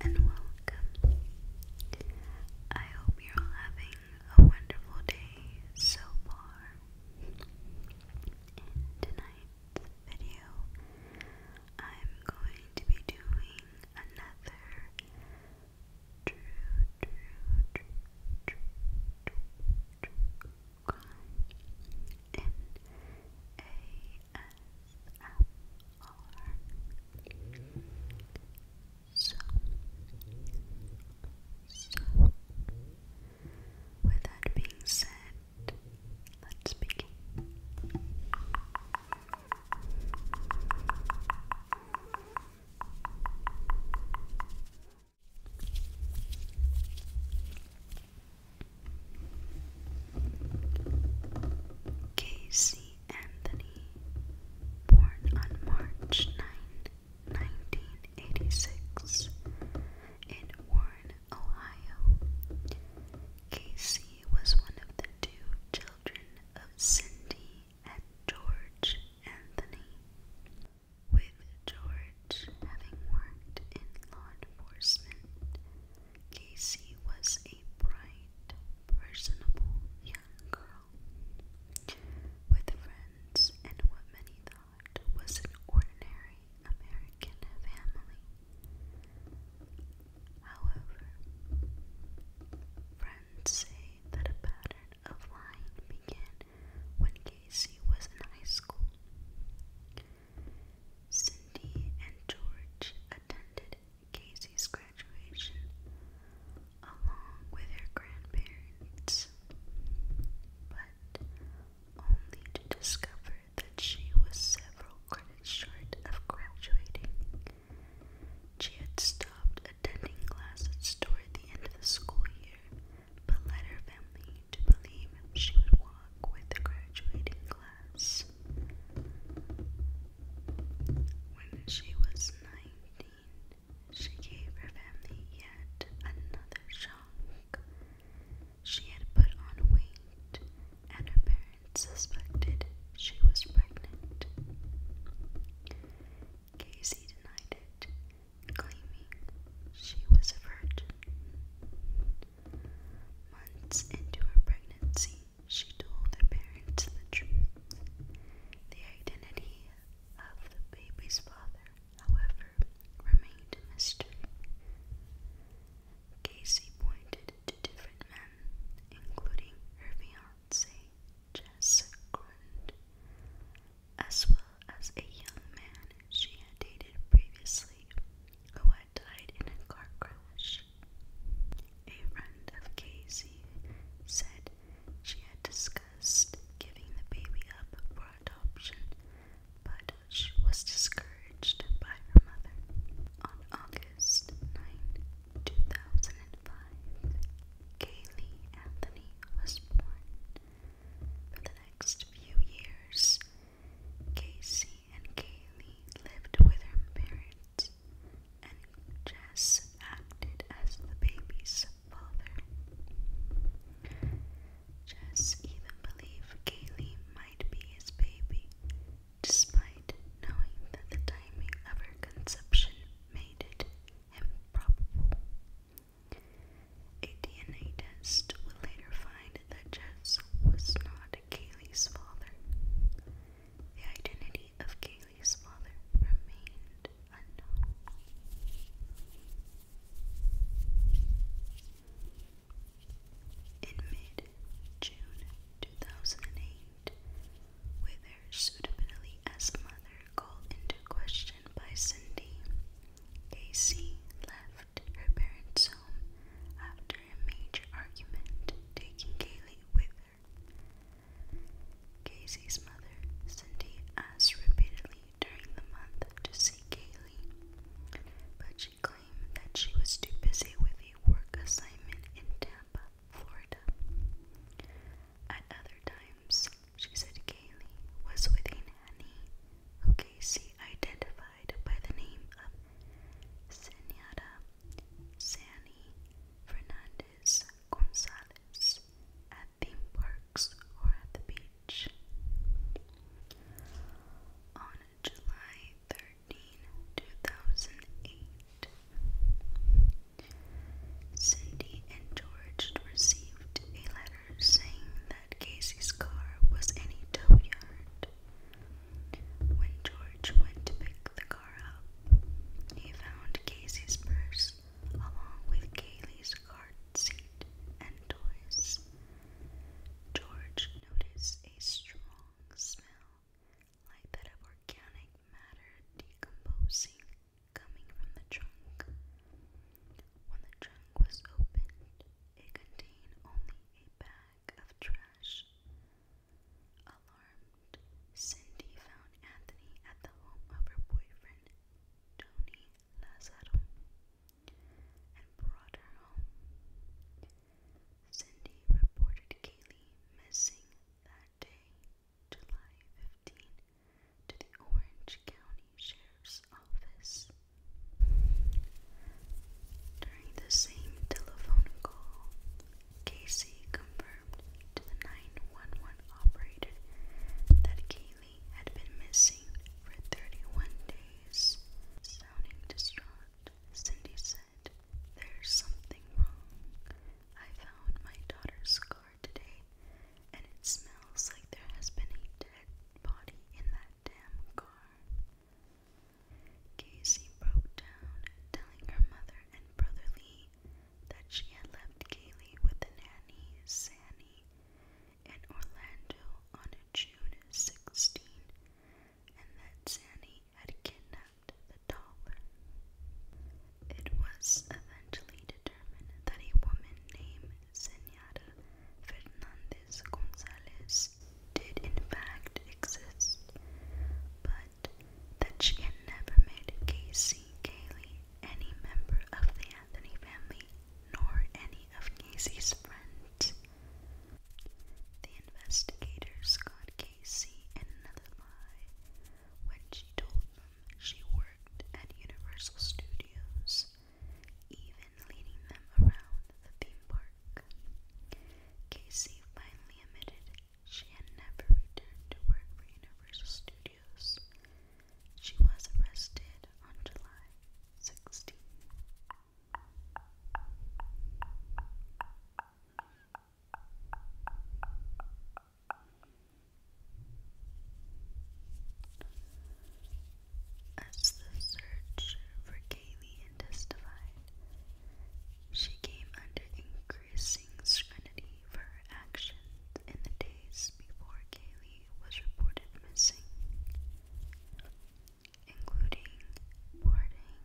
Hello and welcome. I hope you're all having a wonderful day so far. In tonight's video, I'm going to be doing another So, so, with that being said, let's begin. Casey Anthony, born on March 9, 1986, in Warren, Ohio. Casey was one of the two children of Cindy and George Anthony, with George having worked in law enforcement. Casey was a bright, personable young girl with friends and what many thought was an ordinary American family. However, friends say that a pattern of lying began when Casey was in high school. Cindy and George attended Casey's graduation along with her grandparents, but only to discover that she was several credits short of graduating she had stopped attending class toward the end of the school year, but led her family to believe she would walk with the graduating class. When she was 19, she gave her family yet another shock. She had put on weight, and her suspected she was pregnant. Casey denied it, claiming she was a virgin. Months into her pregnancy, she told her parents the truth. The identity of the baby's father, however, remained a mystery. Casey pointed to different men, including her fiancé. Nazi Jess Grund, as well as a young man she had dated previously who had died in a car crash. A friend of Casey said she had discussed giving the baby up for adoption, but she was discouraged by her mother. On August 9, 2005, Kaylee Anthony was born. For the next few years, Casey and Kaylee lived with her parents, and Jess acted as the baby's father. Jess even believed Kaylee might be his baby despite knowing that the timing of her conception made it improbable. A DNA test would later find that Jess was not Kaylee's father. The identity of Kaylee's father remained unknown. In mid June 2008, conceived, with her suitability as mother called into question by Cindy. Casey left her parents' home after a major argument, taking Kaylee with her. Casey's mother, Cindy, asked repeatedly during the month to see Kaylee, but she claimed that she was too busy with a work assignment in town Florida. At other times, she said Kaylee was with a who Casey identified by the name of Senora Sani Fernandez Gonzalez at theme parks or at the beach. On July 3rd, 2008. Cindy and George received a letter saying that Casey's car was in a tow yard. When George went to pick the car up, he found Casey's purse along with Kaylee's cart seat and toys. George noticed a strong smell like that of organic matter decomposing coming from the trunk. When the trunk was opened, it contained only a bag of trash. Alarmed, Cindy found Anthony at the home of her boyfriend, Tony Lazaro, and brought her home. Cindy reported Kaylee missing that Saturday, July 15, to the Orange County Sheriff's Office. During the same telephone call, Casey confirmed to the 911 operator that Kaylee had been missing for 31 days. Sounding distraught, Cindy said there's something wrong. I found my daughter's car today, and it smells like there has been a dead body in that damn car. Casey broke down, telling her mother and brother Lee that she had left Kaylee with the nanny, Sanny, in Orlando on June 16, and that Sanny had kidnapped the dollar. It was eventually determined that a woman named Senora Fernandez Gonzalez did in fact exist, but that she had never made Casey Kelly, any member of the Anthony family nor any of Casey's friends. The investigators got Casey and Netherby when she told them she worked at Universal Studios, even leading them around the theme park. Casey finally admitted she had never returned to work for Universal Studios. She was arrested on July 16. As the search for Galen testified, she came under increasing scrutiny for her actions in the days before Kaylee was reported missing, including boarding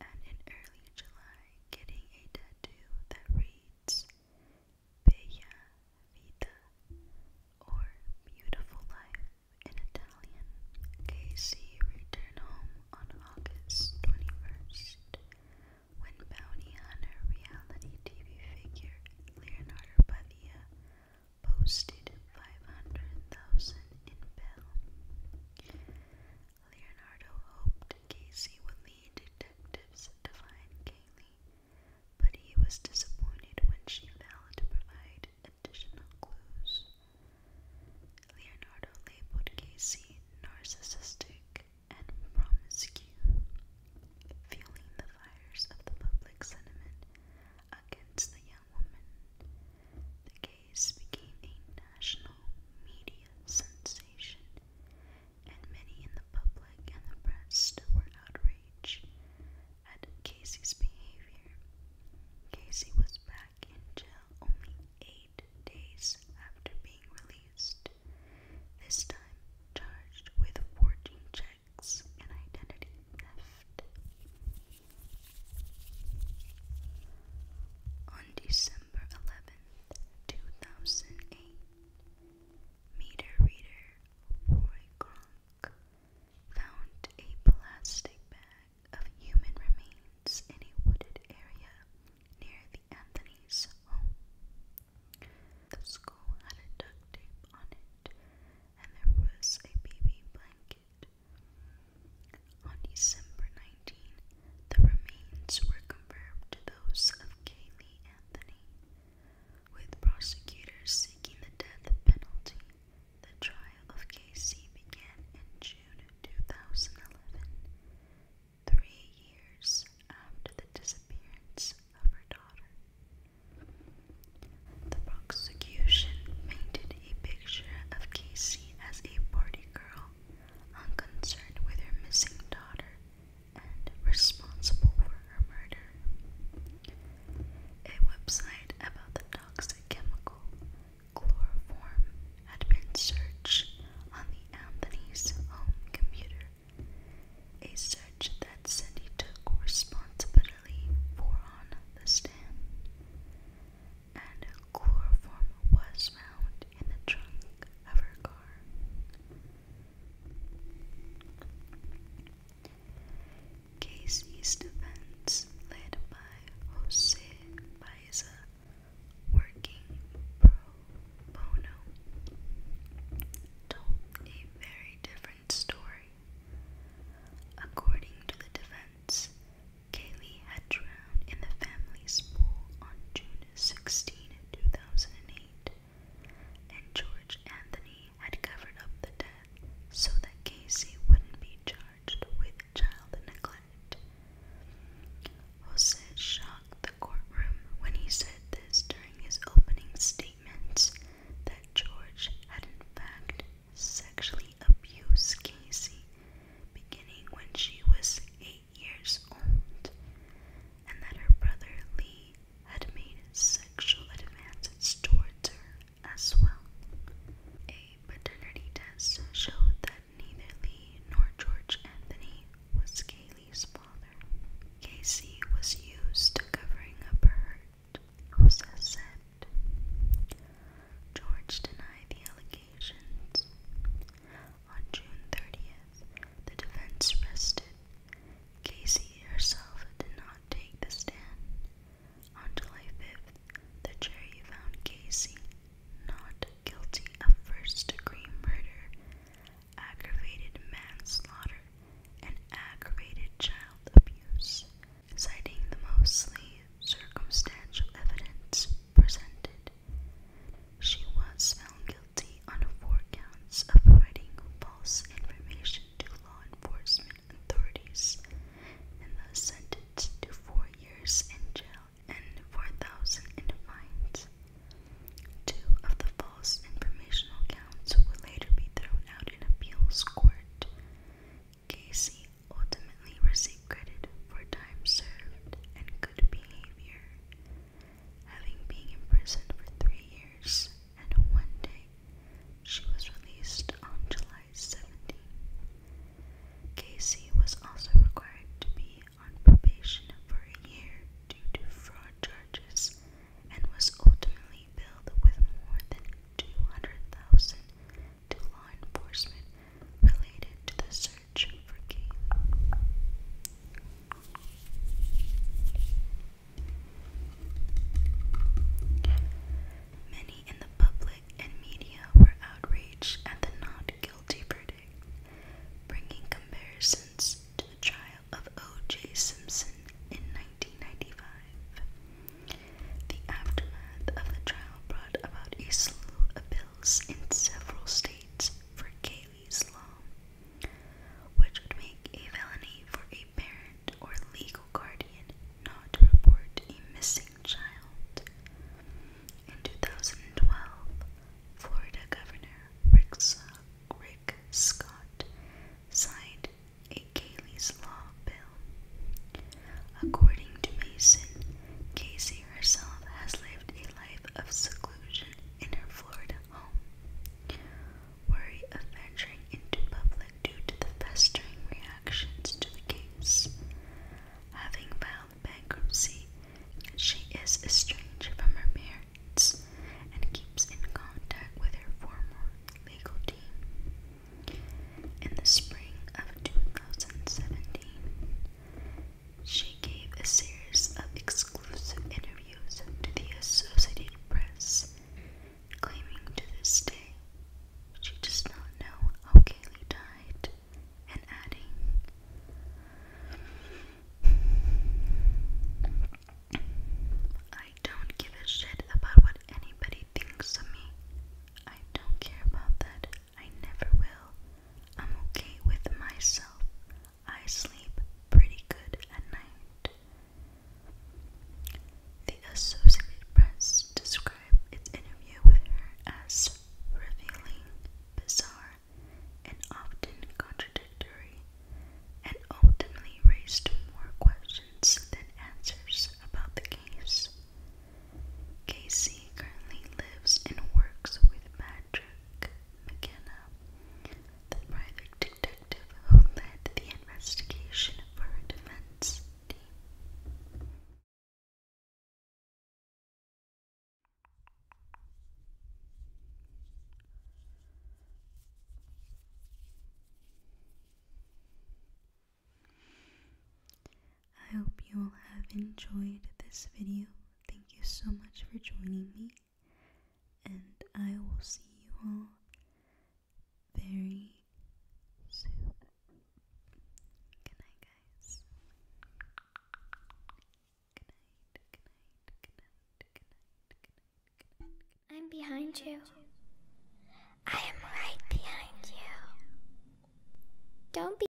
and in early July getting a tattoo that reads Vita or Beautiful Life in Italian. Casey returned home on August 21st when bounty hunter reality TV figure Leonardo Padilla posted 500,000 in bail. Leonardo hoped Casey would lead detectives to find Kaylee, but he was disappointed when she failed to provide additional clues. Leonardo labeled Casey narcissistic and promiscuous, fueling the fires of the public sentiment against the young woman. The case became a national media sensation, and many in the public and the press were outraged at Casey's behavior. Casey was back in jail only eight days after being released, this time charged with forging checks and identity theft. On December 11, 2008 meter reader Roy found a plastic bag of human remains in a wooded area near the Anthony's home. The school had duct tape on it, and there was a baby blanket. On December 19, the remains were confirmed to those of Kaylee Anthony, with prosecutors seeking the death penalty. The trial of Casey began in June 2011, three years after the disappearance of her daughter. The prosecution painted a picture of Casey as a party girl unconcerned with her missing daughter and responsible for her murder. A website about the toxic chemical chloroform had been searched on the Anthony's home computer, a search that Cindy took responsibility for on the stand and chloroform was found in the trunk of her car. Casey's defense, led by Jose Baeza, working pro bono, told a very different story. According to the defense, Kaylee had drowned in the family's pool on June 16, 2008, and George Anthony had covered up the death so that Casey wouldn't be charged with child neglect. Jose shocked the courtroom when he said this during his opening statements that George had in fact sexually abused Casey beginning when she was 8 years old, and that her brother Lee had made sexual advances towards her as well. A paternity test showed that neither Lee nor George Anthony was Kaylee's father. Casey was used to covering up her hurt, Rosa said. George denied the allegations. On June 30th, the defense rested. Casey herself did not take the stand. On July 5th, the jury found Casey not guilty of first degree murder, aggravated manslaughter, and aggravated child abuse, citing the mostly circumstantial evidence presented. She was found guilty on four counts of providing false information to law enforcement authorities and thus sentenced to four years in jail and 4,000 in fines. Two of the false informational counts would later be thrown out in appeals court. Casey ultimately received credit for time served and good behavior, having been imprisoned for three years and one day. She was released on July 17. Casey was also required to be on probation for a year due to fraud charges and was ultimately billed with more than 200,000 to law enforcement related to the search searching for Many in the public and media were outraged at the not guilty verdict, bringing comparisons to the trial of O.J. Simpson in 1995. The aftermath of the trial brought about a slew of bills in several states for Kaylee's Law, which would make a felony for a parent or legal guardian not to report a missing child. In 2012, Florida Governor Rick, Scott signed a Kaylee's Law bill. According to Mason, Casey Nancy herself has lived a life of seclusion in her Florida home, worry of venturing into public due to the festering reactions to the case. Having filed bankruptcy, she is estranged from her parents and keeps in contact with her former legal team. In the spring of 2017, she gave a series of exclusive interviews to the Associated Press, claiming to this day she does not know how Kaylee died, and adding, I don't give a shit about what anybody thinks of me. I don't care about that I never will. I'm okay with myself. I sleep pretty good at night. The Associated Press described its interview with her as revealing, bizarre, and often contradictory, and ultimately raised more questions than answers about the case. Casey currently lives and works with Patrick McKenna, the private detective who led the investigation for her defense team. I hope you all have enjoyed this video. Thank you so much for joining me, and I will see you all very soon. Good night, guys. Good night, good night, good night, good night, good night, good night. I'm behind you. I am right behind you. Don't be